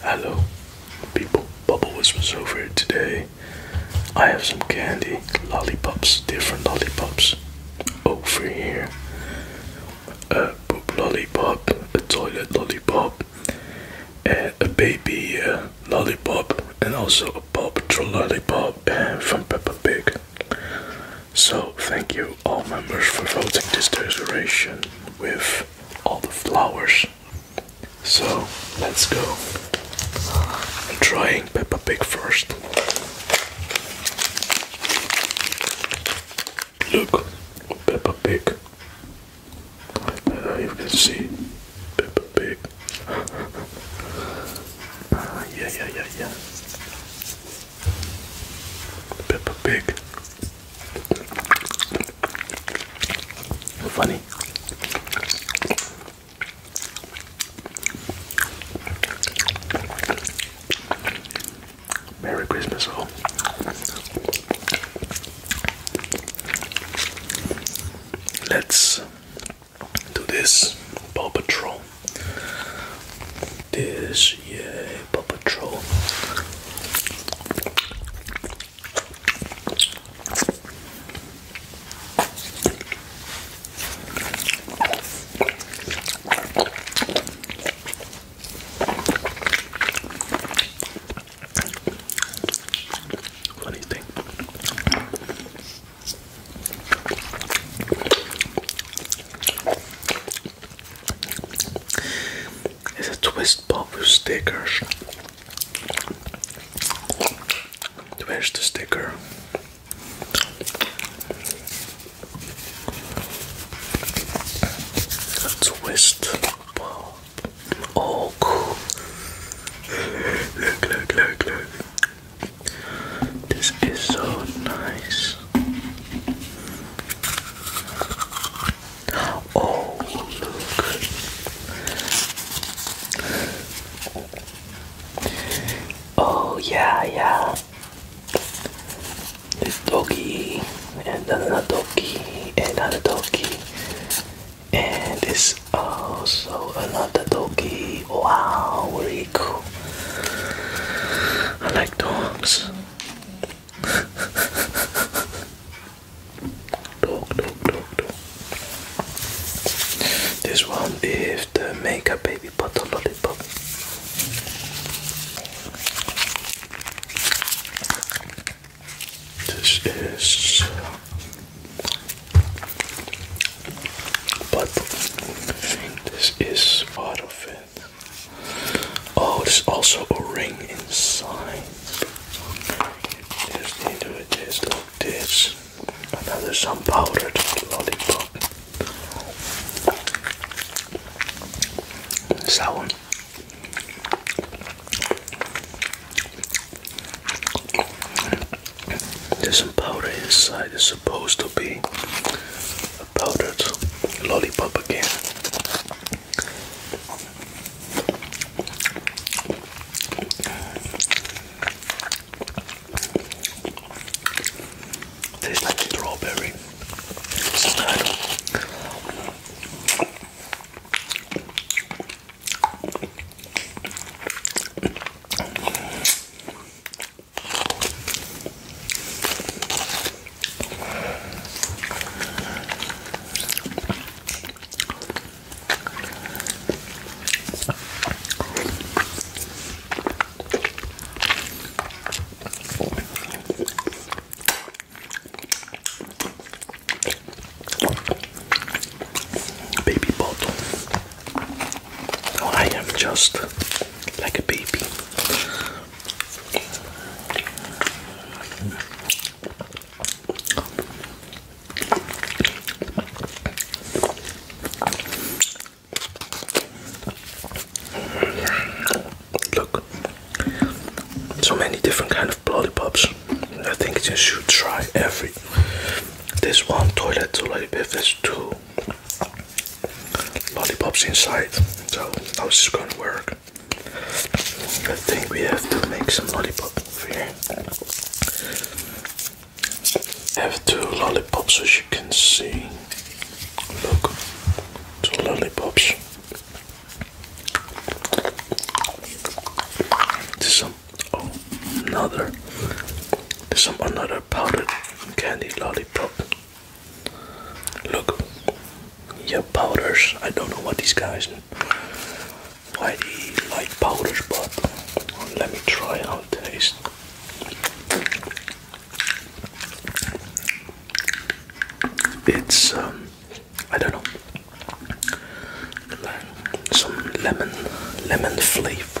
Hello, people. Bubble was over here today. I have some candy, lollipops, different lollipops over here. A poop lollipop, a toilet lollipop, a baby uh, lollipop, and also a Paw Patrol lollipop and from Peppa Pig. So thank you all members for voting this decoration with all the flowers. So let's go. I'm trying Peppa Pig first. Look, Peppa Pig. Uh, you can see Peppa Pig. Ah, yeah, yeah, yeah, yeah. Peppa Pig. Funny. Merry Christmas all. Let's do this Paw Patrol. This yeah Paw Patrol. Funny thing. It's a twist pop with stickers. Where's the sticker? Twist. Oh, cool. Look, look, look, look. This is so nice. Oh, look. Oh, yeah, yeah. This doggy, and another doggy, and another doggy, and this also another doggy. Wow, really cool. I like dogs. This one is the Makeup Baby Butter Lollipop. This is but this is part of it. Oh, there's also a ring inside. Just need to adjust like this. Another some powdered lollipop. one. There's some powder inside. It's supposed to be a powdered lollipop again. Tastes like strawberry. Baby bottle. I am just like a baby. Look, so many different kind of lollipops. I think you should try every. This one toilet lollipop has two lollipops inside, so how's this gonna work? I think we have to make some lollipop over here. have two lollipops as you can see. Look, two lollipops. There's some oh, another. There's some another powdered candy lollipop. Look, yeah, powders. I don't know what these guys, why they like powders, but let me try how it tastes. It's um, I don't know, some lemon, lemon flavor.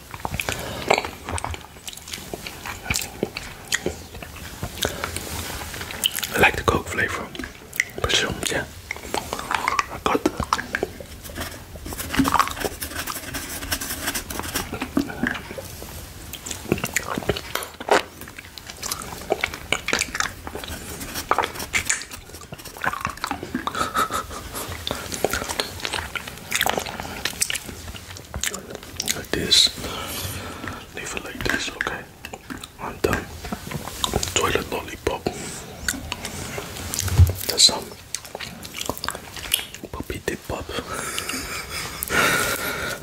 I like the Coke flavor, but yeah, I got like this. Leave it like this, okay? I'm done. Toilet lollipop. That's some puppy dip pop.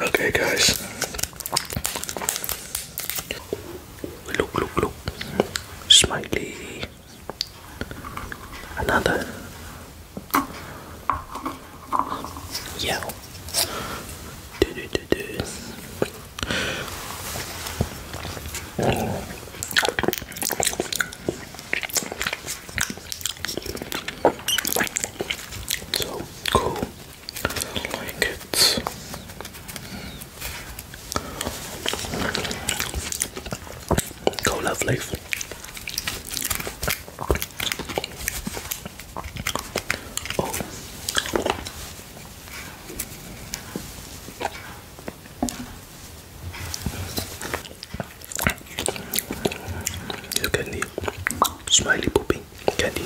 okay, guys. Look, look, look. Smiley. Another yeah. Do do do do. So cool. Like it. Go lovely. Oh. candy, smiley poopy candy.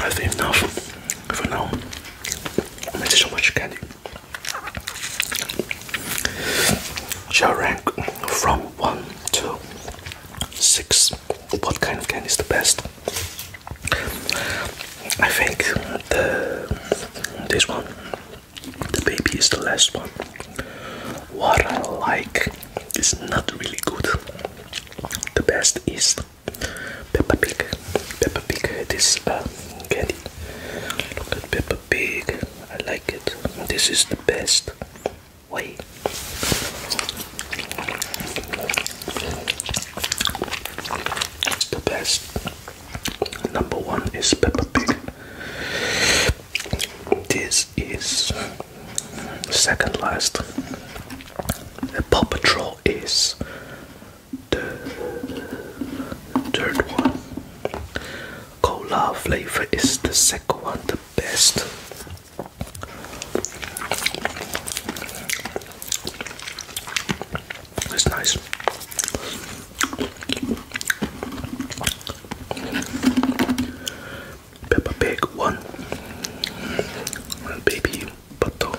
I think now, for now. I made so much candy. Shall rank from one to six. What kind of candy is the best? I think this one, the baby is the last one. What I like is not really good the best is Peppa Pig. Peppa Pig, this um, candy. Look at Peppa Pig. I like it. This is the best way. the best. Number one is Peppa Pig. This this is second last. The Paw Patrol is the third one. Cola flavor is the second one, the best. That's nice. Peppa Pig one, and Baby Butto,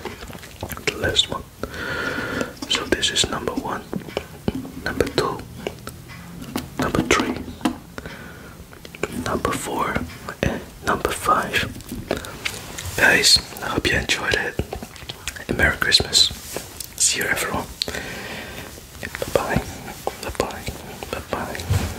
the last one. So this is number one, number two, number three, number four, and number five. Guys, I hope you enjoyed it. Merry Christmas. See you everyone. Bye bye. Bye bye. Bye bye.